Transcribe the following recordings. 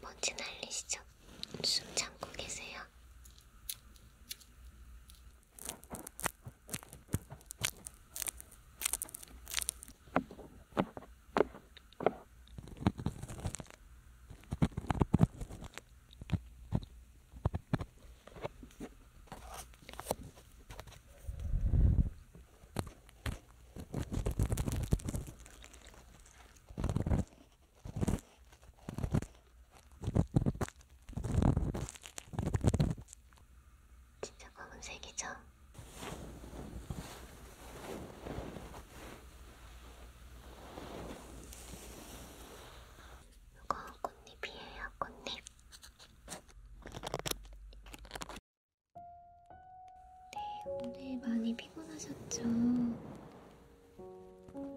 먼지 날리시죠? 숨 참고 계세요. 진짜 검은색이죠? 이거 꽃잎이에요, 꽃잎. 네, 오늘 많이 피곤하셨죠?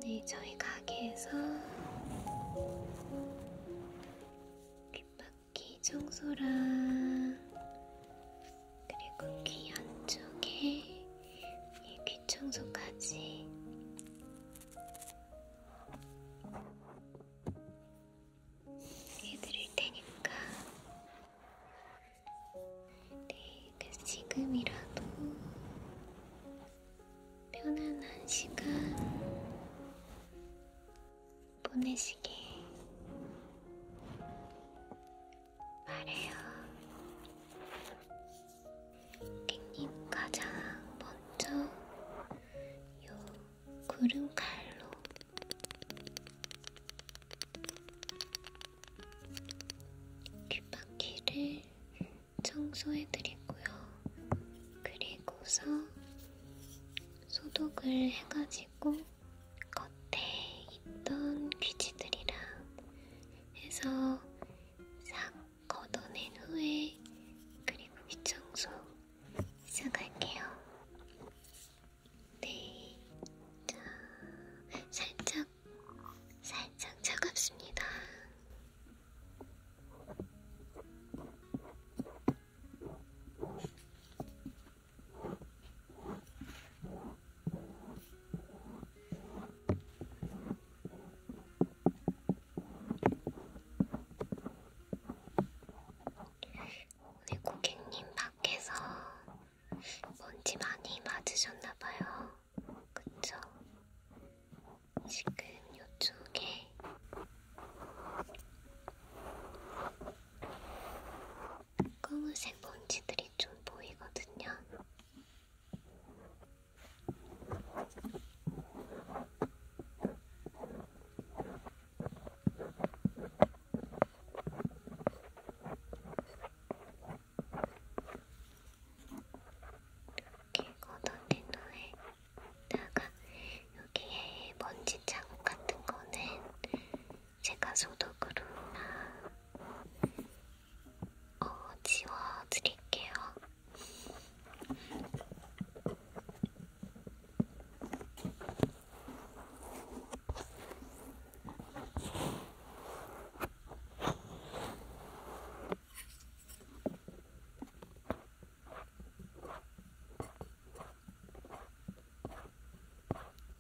네, 저희 가게에서 귓바퀴 청소랑 그리고 귀 안쪽에 이귀 청소까지 해드릴 테니까 네, 그 지금이라도 편안한 시간 보내시길 바래요. 앵님 가장 먼저 요 구름칼로 귓바퀴를 청소해드리고요. 그리고서 소독을 해가지고 겉에 있던 귀지들이랑 해서 싹 걷어낸 후에 그리고 윗청소 시작할게요. 네, 자, 살짝, 살짝 차갑습니다. 자, 오늘 고객님 밖에서 먼지 많이 맞으셨나봐요. 그쵸? 지금 요쪽에 검은색 먼지들이 좀 보이거든요. 이렇게 걷어낸 후에 다가 여기에 먼지 자국 같은 거는 제가 소독으로 어, 지워드릴게요.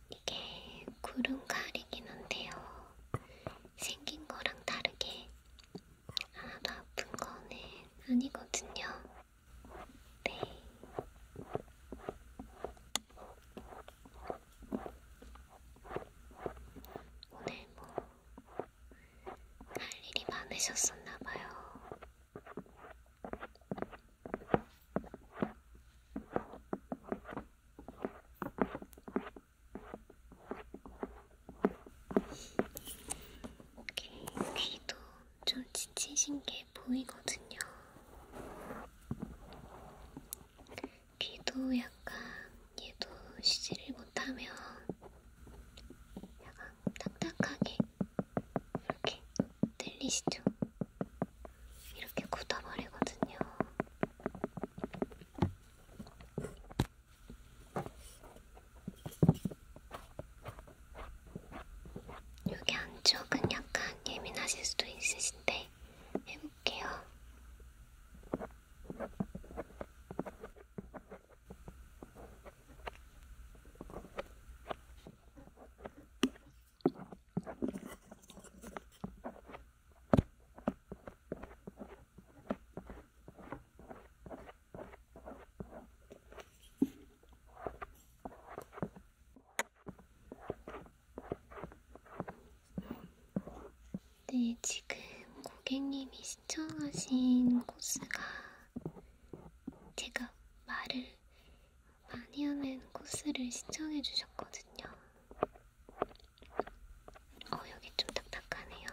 이게 구름 가리긴 한데요. 생긴 거랑 다르게 하나도 아픈 거는 아니거든요. 네. 오늘 뭐 할 일이 많으셨었나봐요. 오케이, 귀도 좀 지치신 게 보이거든요. 귀도 약간 얘도 쉬지를 못하면 약간 딱딱하게 이렇게 들리시죠? 이렇게 굳어버리거든요. 여기 안쪽은 약간 예민하실 수도 있으신데 해볼게요. 네, 지금 고객님이 신청하신 코스가 제가 말을 많이 하는 코스를 신청해 주셨거든요. 어, 여기 좀 딱딱하네요.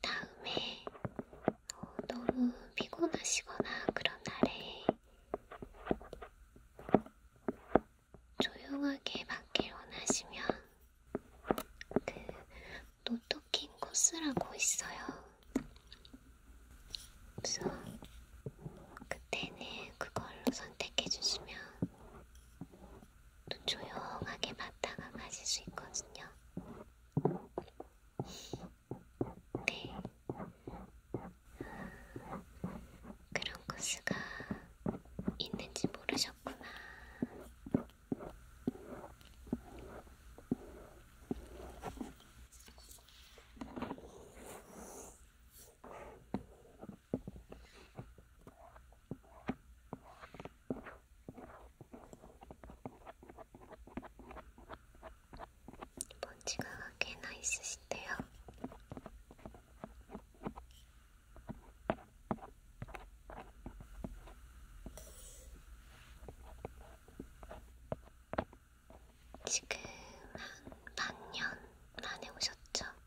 다음에 어, 너무 피곤하시거나 그런 날에 조용하게 받길 원하시면 그 노토킹 코스라고 있어요. 그래서 그때는 그걸로 선택해 주시면 조용하게 봤다가 가실 수 있거든요. 네. 그런 코스가 있는지 모르셨구나. 먼지가 꽤나 있으신데요. 지금 한 반년 만에 오셨죠?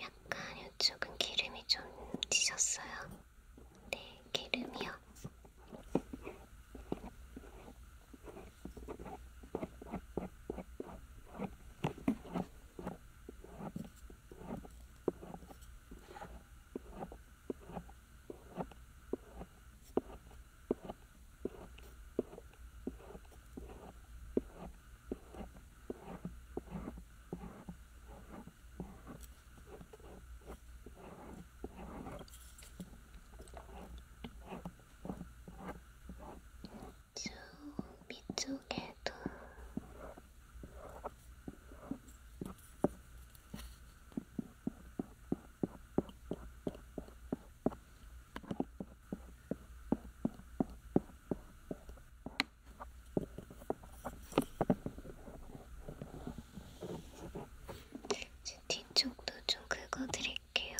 약간 이쪽은 기름이 좀 지셨어요. 네, 기름이요. 쭉 밑쪽에도 이제 뒤쪽도 좀 긁어드릴게요.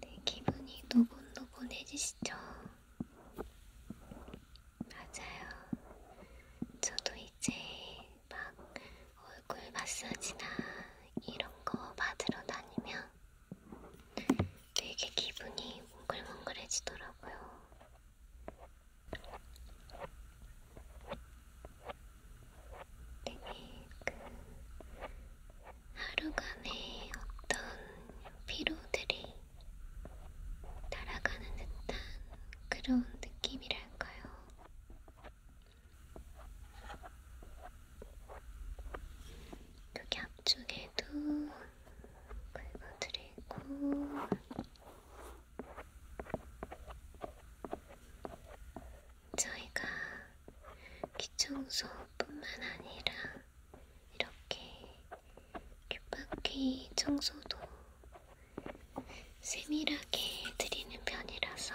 내 네, 기분이 노곤노곤해지시죠? 맞아요. 저도 이제 막 얼굴 마사지나 이런 거 받으러 다니면 되게 기분이 몽글몽글해지더라고요. 되게 그 하루간의 어떤 피로들이 날아가는 듯한 그런 느낌이랄까요. 여기 앞쪽에도 긁어드리고 저희가 귀청소뿐만 아니라 이렇게 귓바퀴 청소도 세밀하게 드리는 편이라서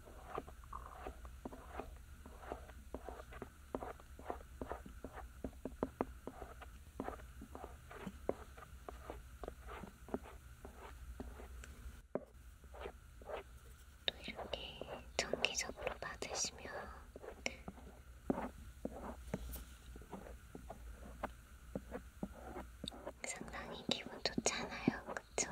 또 이렇게 정기적으로 받으시면 상당히 기분 좋잖아요, 그쵸?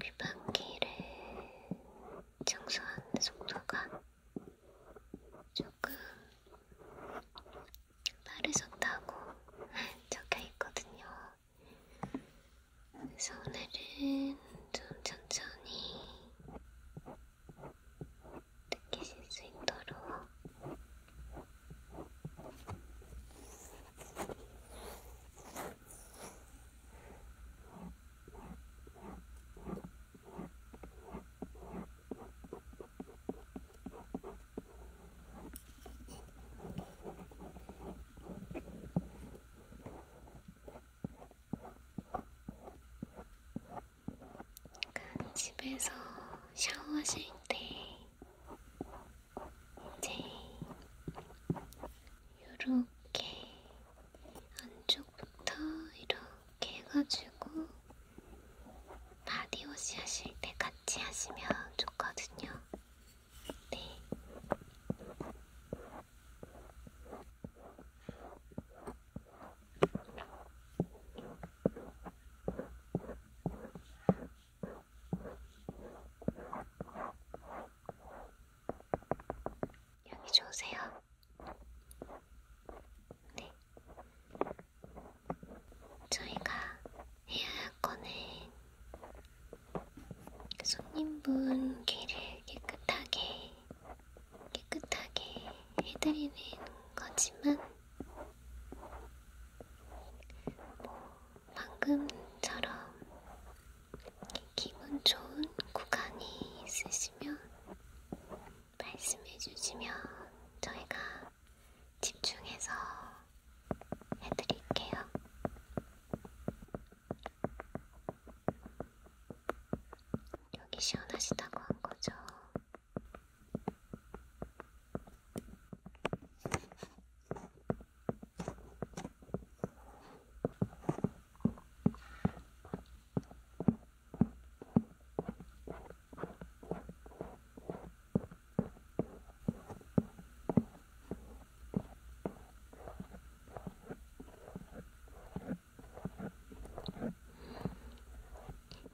귓방귀를 청소하는 속도가 조금 빠르셨다고 적혀있거든요. 그래서 오늘은 좀 천천히 느끼실 수 있도록 그러니까 집에서 샤워하실 때 이제 요렇게 안쪽부터 이렇게 해가지고 바디워시 하실 때 같이 하시면 좋거든요. 네. 여기 좋으세요? 네. 저희가 해야 할거는 손님분 귀를 깨끗하게 깨끗하게 해드리는 거지만 뭐 방금처럼 기분 좋은 구간이 있으시면 말씀해 주시면 저희가 집중해서 해드릴게요. 여기 시원하시다고 한 거죠?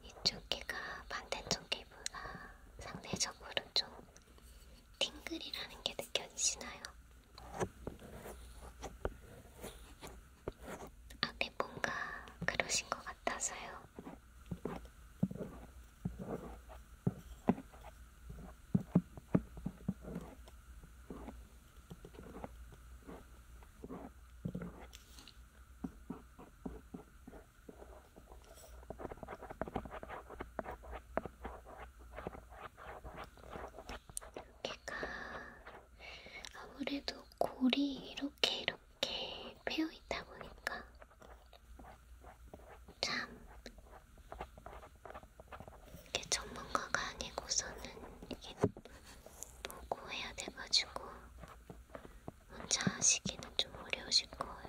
이쪽 귀가 반대쪽 귀보다 상대적으로 좀 팅글이라는 게 느껴지시나요? 아, 네, 뭔가 그러신 것 같아서요. 어깨가 아무래도 골이 이렇게 이렇게 패여 있다 보니까 참 이게 전문가가 아니고서는 이게 보고 해야 돼가지고 혼자 하시기는 좀 어려우실 거예요.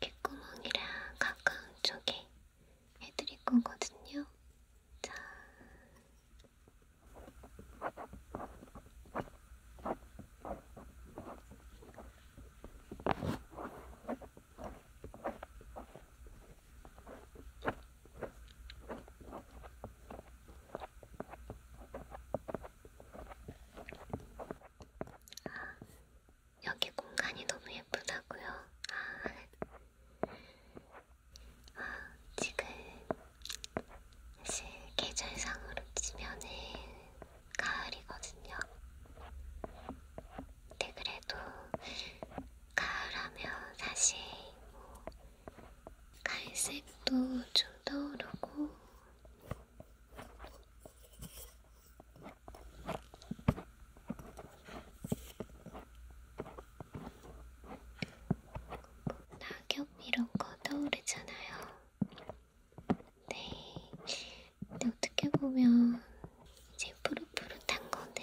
귓구멍이랑 가까운 쪽에 해드릴 거거든요. 자. 여기 공간이 너무 예쁘다고요. 아, 아, 지금 사실 계절상으로 치면은 가을이거든요. 근데 그래도 가을하면 사실 뭐 갈색도 좀 떠오르고 낙엽 이런 거 떠오르잖아요. 네. 근데 어떻게 보면 이제 푸릇푸릇한 거는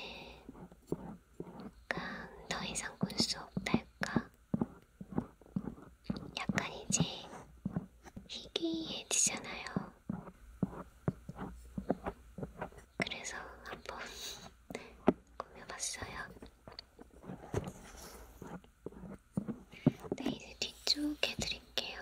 약간 더 이상 꿀수 없달까? 약간 이제 희귀해지잖아요. 그래서 한번 꾸며봤어요. 네, 이제 뒤쪽 해드릴게요.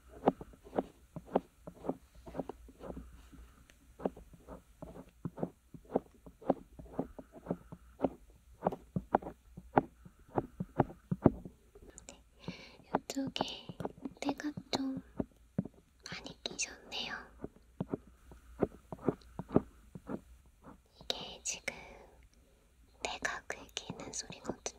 이쪽에 때가 좀 많이 끼셨네요. 이게 지금 내가 긁히는 그 소리거든요.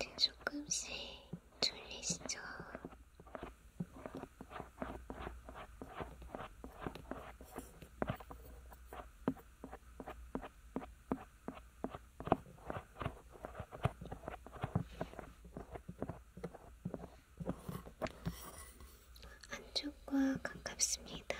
이제 조금씩 졸리시죠? 안쪽과 가깝습니다.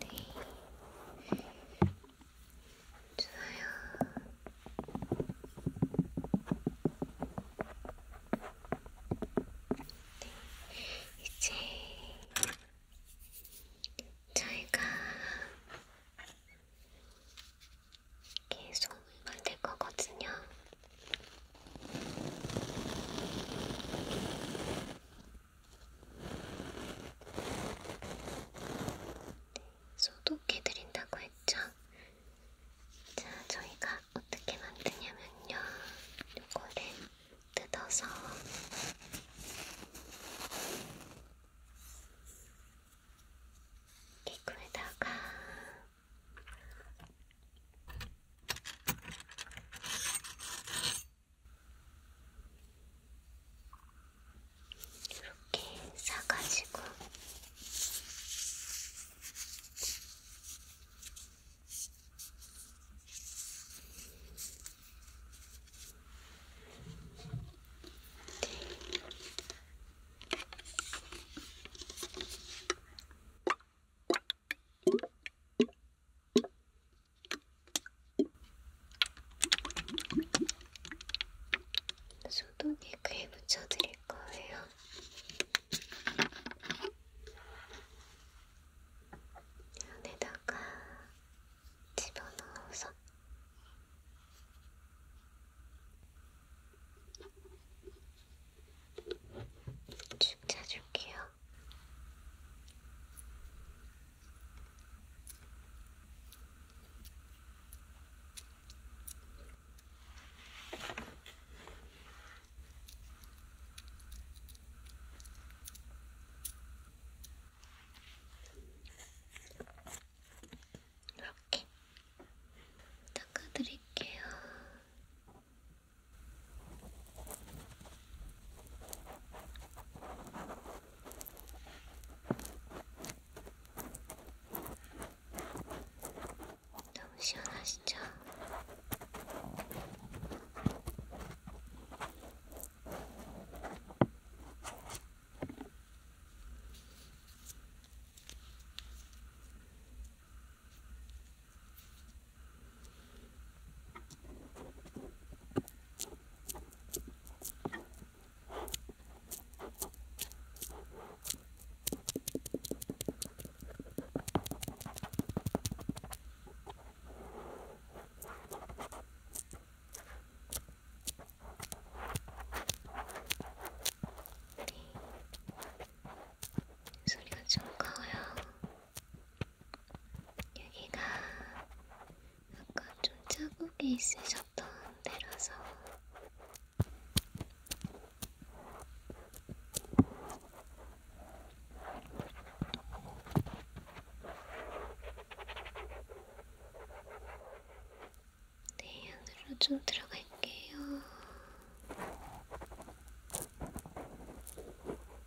네. 이제 저희가 계속 만들 거거든요. 네, 소독해드린다고 했죠? 자, 저희가 어떻게 만드냐면요. 요거를 뜯어서 이구에다가 이렇게 싸가지고 네. 소독에 글 묻혀드릴 거예요. 안에다가 집어넣어서 축 짜줄게요. 이렇게 닦아드릴게요. 너무 시원하시죠? 네. 소리가 좀 커요. 여기가 아까 좀 자국이 있으셨던 데라서 네, 안으로 좀 들어갈게요.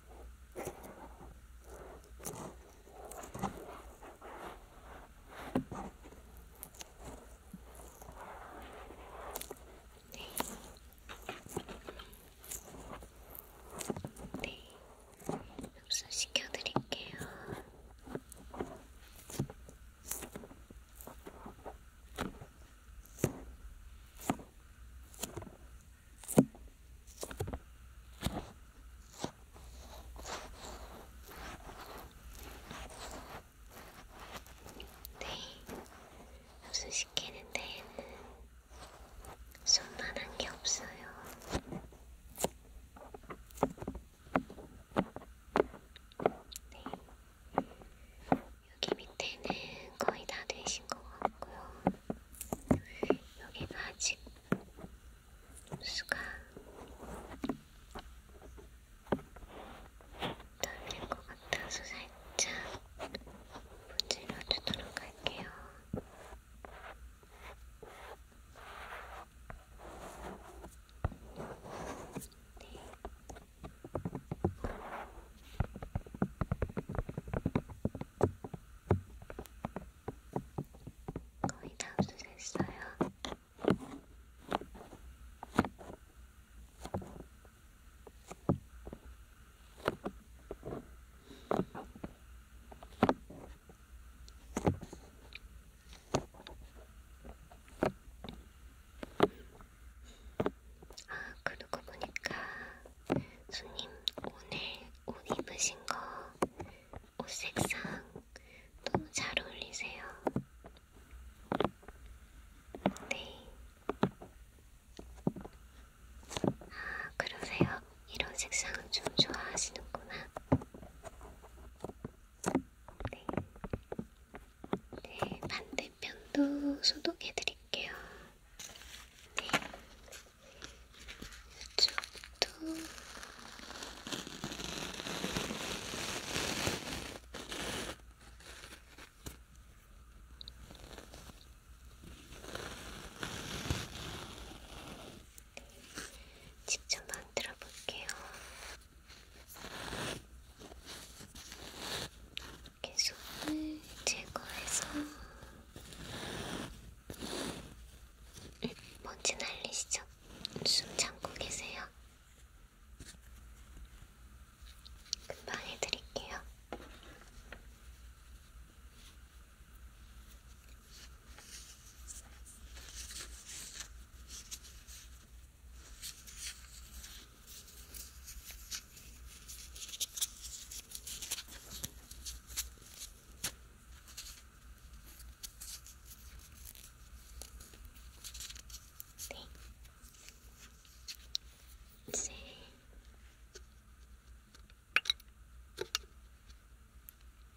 네, 흡수시켜 드릴게요. 네, 흡수시키는 데에는 손만 한 게 없어요. 네, 여기 밑에는 거의 다 되신 것 같고요. 여기는 아직 수가 덜된 것 같아서 살짝 문질러 주도록 할게요. 네. 거의 다 없어졌어요. 아, 그러고 보니까 손님 오늘 옷 입으신 거 옷 색상 너무 잘 어울리세요. 네. 아, 그러세요. 이런 색상을 좀 좋아하시는구나. 네. 네, 반대편도 소독해드릴게요. 네. 이쪽도 직접 만들어 볼게요. 이렇게 손을 제거해서 먼지 네, 날리시죠? 숨 참고 계세요. 금방 해드릴게요. 네. 이제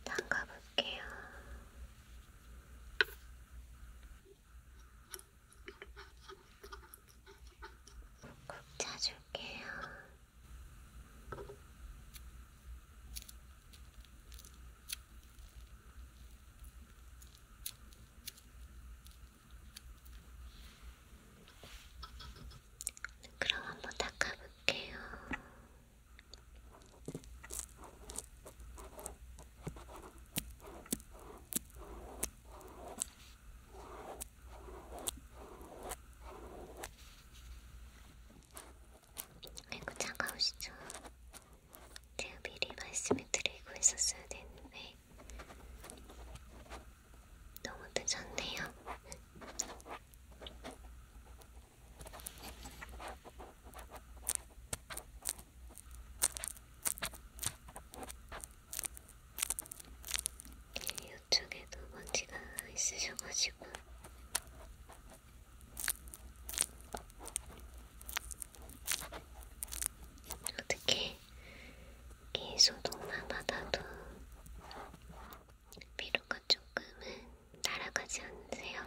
담가 볼게요. 꾹 짜줄게요. 그럼 한번 닦아볼게요. 아이고 차가우시죠? 제가 미리 말씀을 드리고 있었어야 되는데 너무 늦었네요. 그쪽에도 먼지가 있으셔가지고 어떻게 이 소독만 받아도 피로가 조금은 날아가지 않으세요?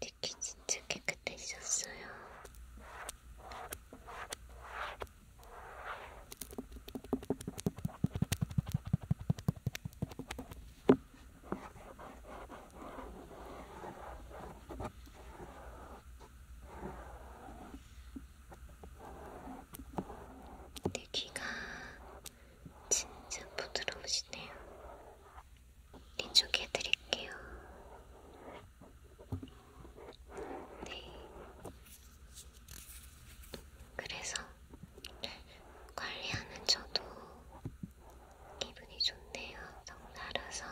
특히 진짜 깨끗해졌어요. 내 귀가 진짜 부드러우시네요. 이쪽에 드릴게요. 네. 그래서 관리하는 저도 기분이 좋네요. 너무 달아서.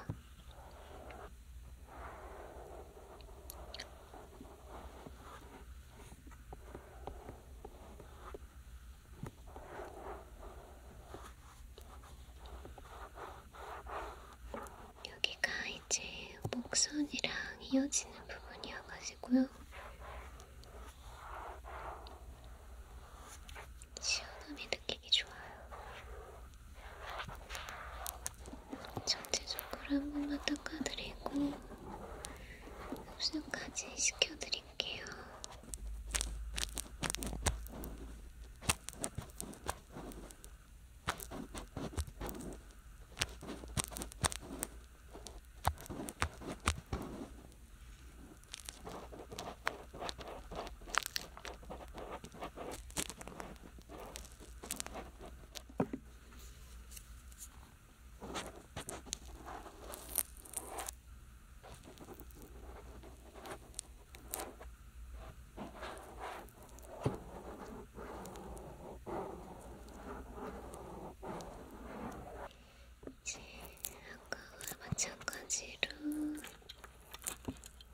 여기가 이제 목선이랑 이어지는 부분이어가지고요. 시원함이 느끼기 좋아요. 전체적으로 한 번만 닦아드리고 흡수까지 시켜드릴게요. 이제 아까와 마찬가지로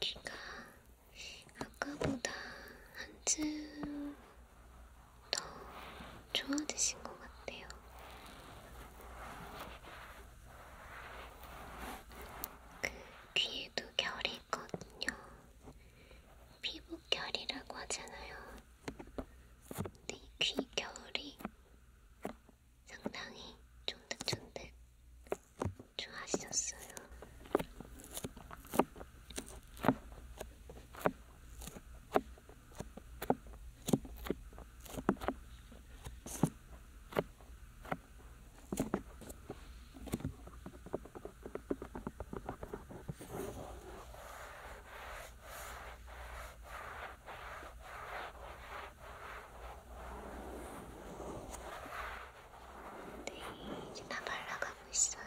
귀가 아까보다 한층 더 좋아지신 것 같아요. 그 귀에도 결이 있거든요. 피부결이라고 하잖아요. 근데 이 귀결이 상당히 쫀득쫀득 좋아하셨어요. 네, 이제 다 말라가고 있어요.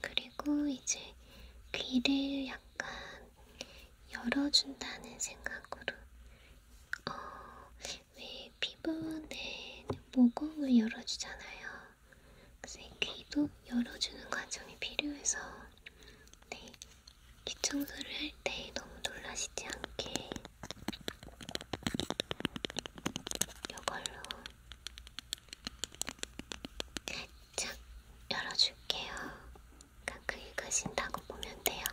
그리고 이제 귀를 약간 열어준다는 생각으로 어, 왜 피부는 모공을 열어주잖아요. 그래서 귀도 열어주는 과정이 필요해서 네, 귀 청소를 할 때 너무 놀라시지 않게 이걸로 살짝 열어줄게요. 가끔 그러니까 그 읽으신다고 보면 돼요.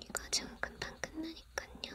이 과정은 금방 끝나니깐요.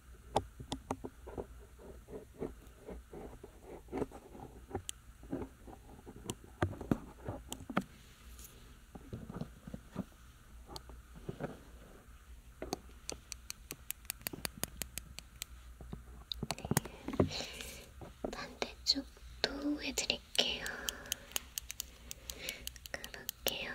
네. 반대쪽도 해드릴게요. 그럴게요.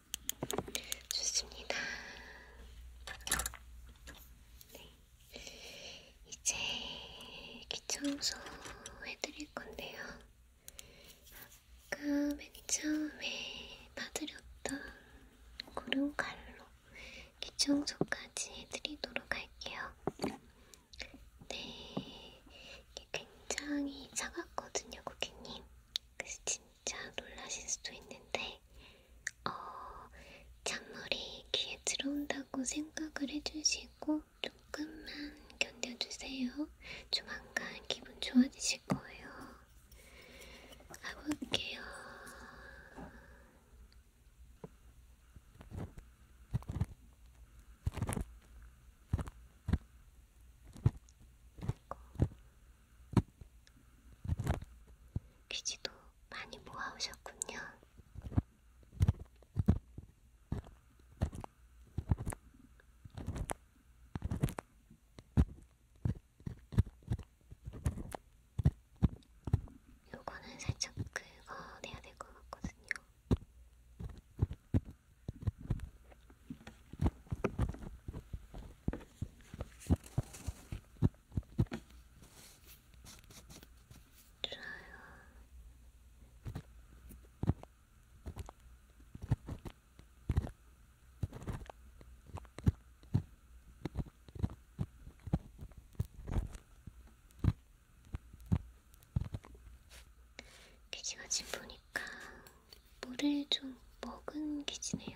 좋습니다. 네. 이제 귀청소 해드릴 건데요. 아까 맨 처음에 봐드렸던 구름칼로 귀청소까지 해드리도록 할게요. 네. 이게 굉장히 차갑거든요, 고객님. 그래서 진 살짝 놀라실 수도 있는데 어, 찬물이 귀에 들어온다고 생각을 해주시고 조금만 견뎌주세요. 조만간 기분 좋아지실 거예요. 가볼게요. 귀지도 많이 모아오셨군요. 요거는 살짝 긁어내야 될 것 같거든요. 귀지가 지금 보니까 물을 좀 먹은 귀지네요.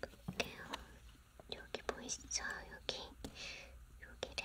그럴게요. 여기 보이시죠? 뭐 여기 여기를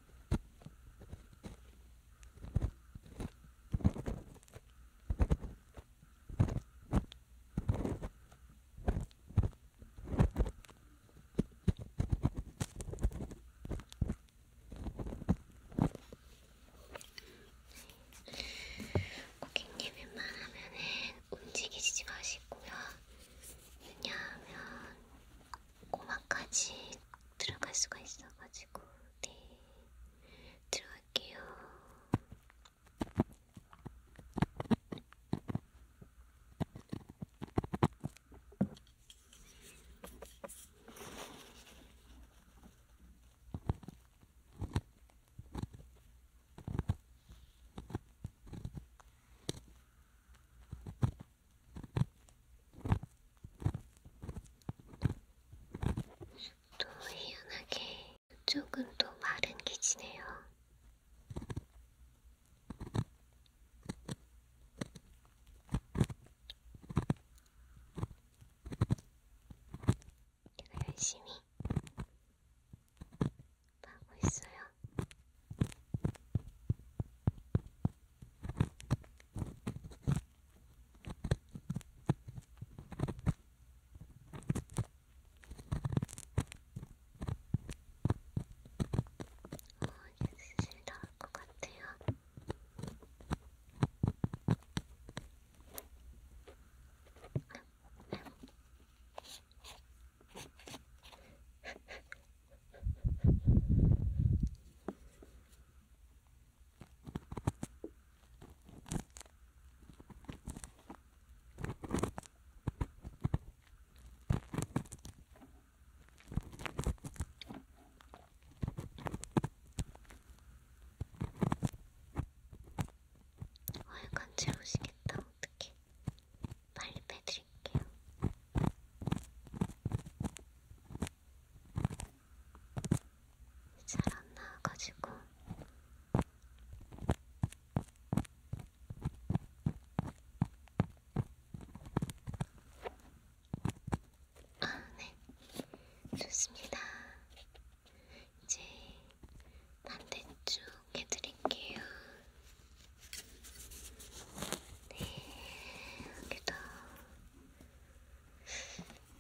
고객님 웬만하면은 움직이지 마시고요. 왜냐하면 고막까지 들어갈 수가 있어가지고. 가지고 네 들어갈게요. 또 희한하게 이쪽은 또 마른 기지네요. 제가 열심히 하고 있어요. だかかってよ 아유 어, 간지러우시겠다 어떡해 빨리 빼드릴게요 잘안 나와가지고 아, 네. 좋습니다. 이제 반대쪽 해드릴게요. 네, 여기도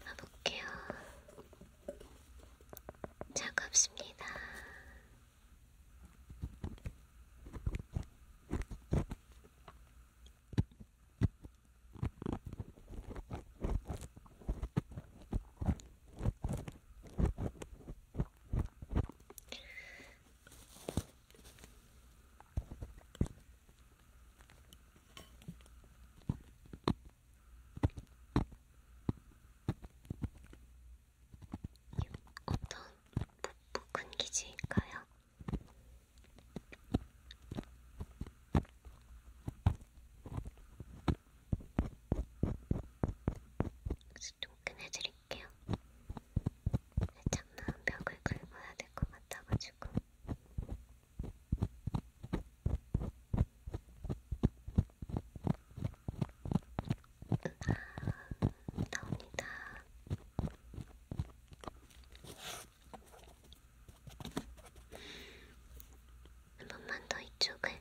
봐볼게요. 차갑습니다. 어떤 묵묵한 기지일까요? 다시 끈해드릴게요. 살짝 나은 벽을 긁어야 될 것 같아가지고. 나옵니다. 한 번만 더 이쪽을.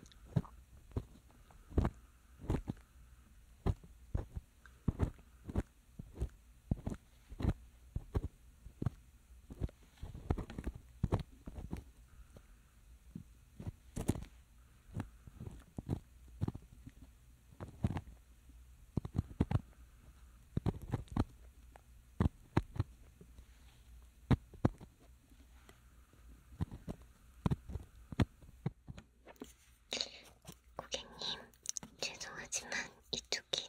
고객님, 죄송하지만 이쪽이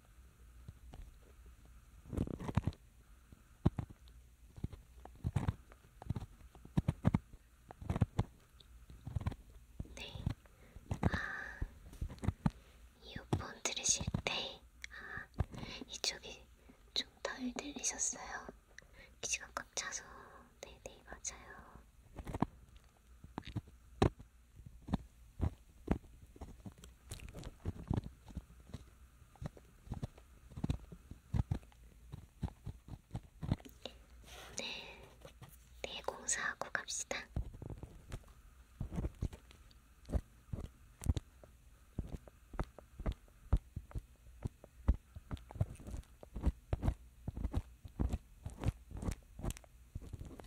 네. 아, 이어폰 들으실 때, 아, 이쪽이 좀 덜 들리셨어요. 귀가 꽉 차서. 네네, 네, 맞아요. 네, 네 공사하고 갑시다.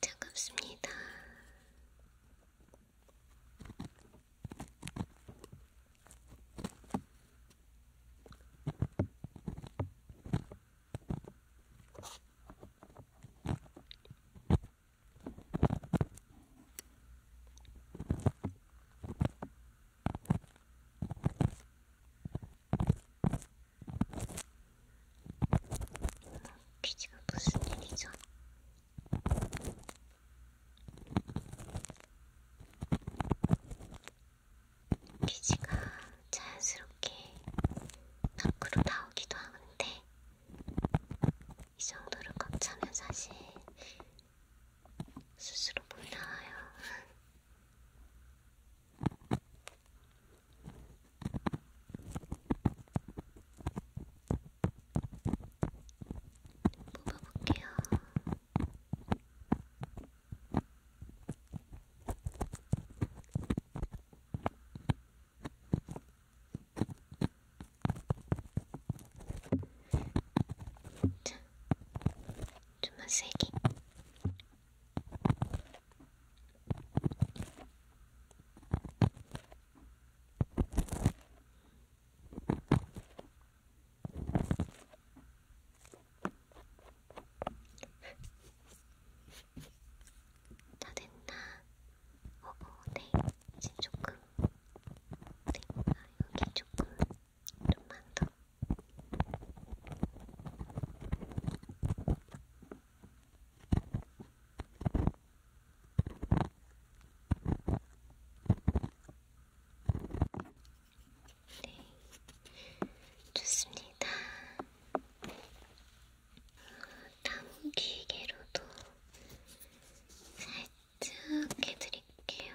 차갑습니다. 피 지금 무슨 일이죠? 피지가 자연스럽게 밖으로 나오기도 하는데 이 정도로 꽉 차면 사실 스스로 못 나와요. 뽑아볼게요. 자, 좀만 세게. 다 됐나? 어, 어, 네. 이제 조금. 네, 아, 여기 조금. 좀만 더. 네, 좋습니다. 다음 기계로도 살짝 해드릴게요.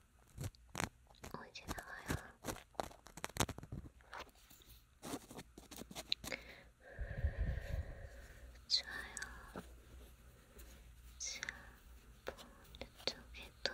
어, 이제 나와요. 좋아요. 자, 반대쪽에도.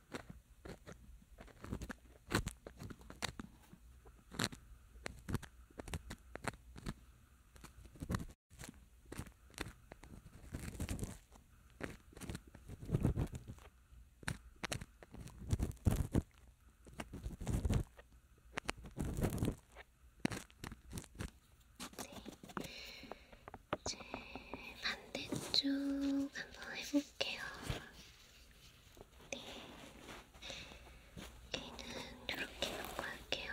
네, 이제 반대쪽 한번 해볼게요. 얘는 이렇게 놓고 할게요.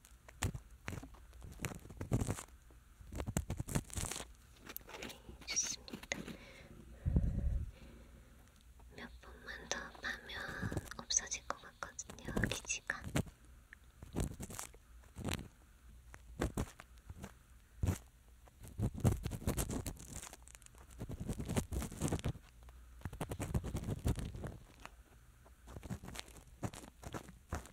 네, 좋습니다. 몇 번만 더 파면 없어질 것 같거든요, 기지가. 자. 어.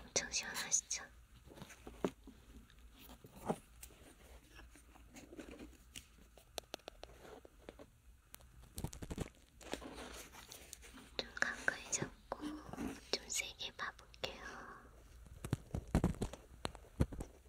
엄청 시원하시죠? 좀 가까이 잡고 좀 세게 봐볼게요.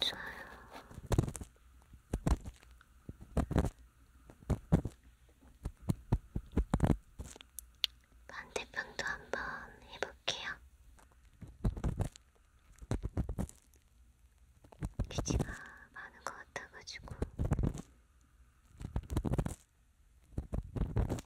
좋아요. 반대편도 한번 해볼게요. 귀지가 많은 것 같아가지고.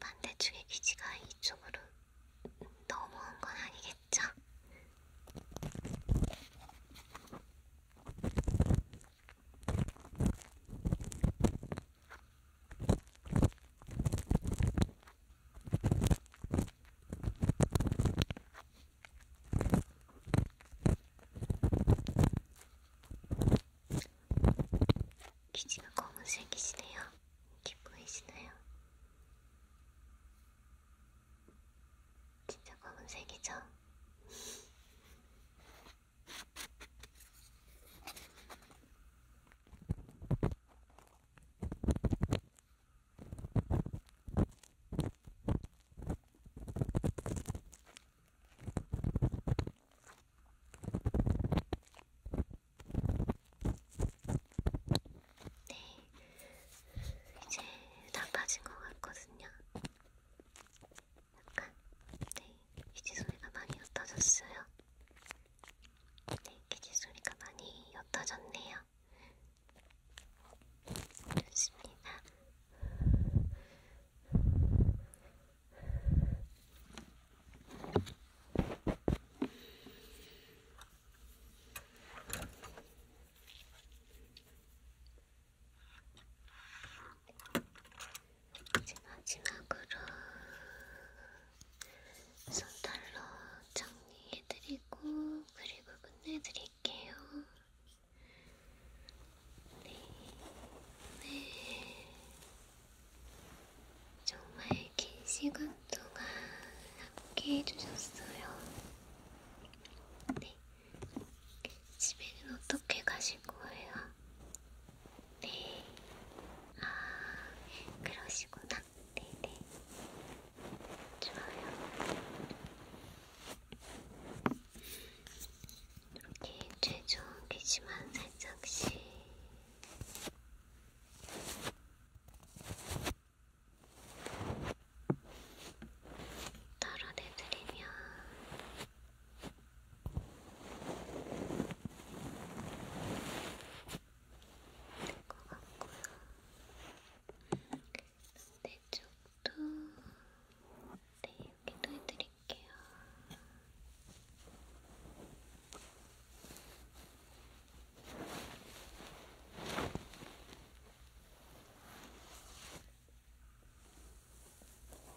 반대쪽의 귀지가 이쪽으로 넘어온 건 아니겠죠? 기지가 검은색이시네요. 기쁘이시나요? 진짜 검은색이죠? 네, 이제 다 빠진 것 같거든요. 약간 네 기지 소리가 많이 옅어졌어요. 네 기지 소리가 많이 옅어졌네요. 좋습니다. 이제 마지막으로 손털로 정리해드리고 그리고 끝내드릴게요. 네, 네. 정말 긴 시간 동안 함께 해주셨어요. 네. 집에는 어떻게 가실 거예요? 네. 아, 그러시구나. 네네. 좋아요. 이렇게 최종 귀지만 살짝씩. 덜어내드리면 될것 같고요. 내 쪽도 네, 여기도 해드릴게요. 네,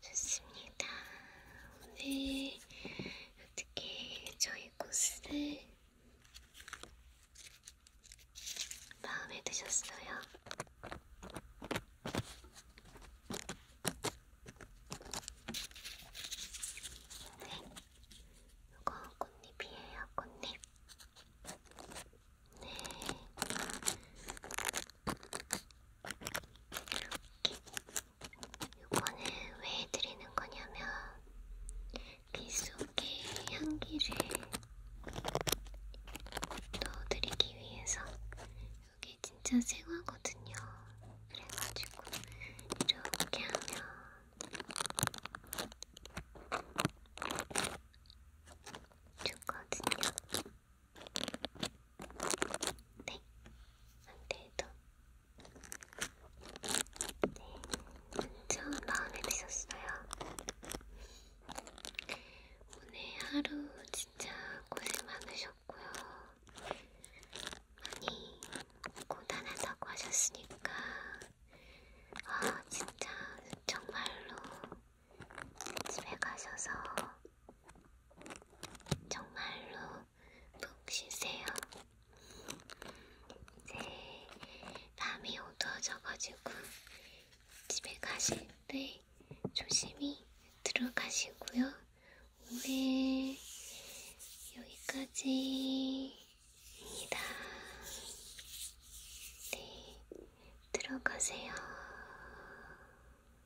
좋습니다. 오늘 네. 어떻게 저희 코스를 마음에 드셨어요? 네, 이거 꽃잎이에요, 꽃잎. 네, 요거는 왜 드리는 거냐면 귀 속에 향기를 넣어드리기 위해서 여기 진짜 생화거든요. 그래가지고 이렇게 하면 좋거든요. 네, 안돼도 네, 엄청 마음에 드셨어요. 오늘 하루 진짜 고생 많으셨고요. 많이 고단하다고 하셨으니까 아 진짜 정말로 집에 가셔서 정말로 푹 쉬세요. 이제 밤이 어두워져가지고 집에 가실 때 조심히 들어가시고요. 오늘 여기까지입니다. 네, 들어가세요.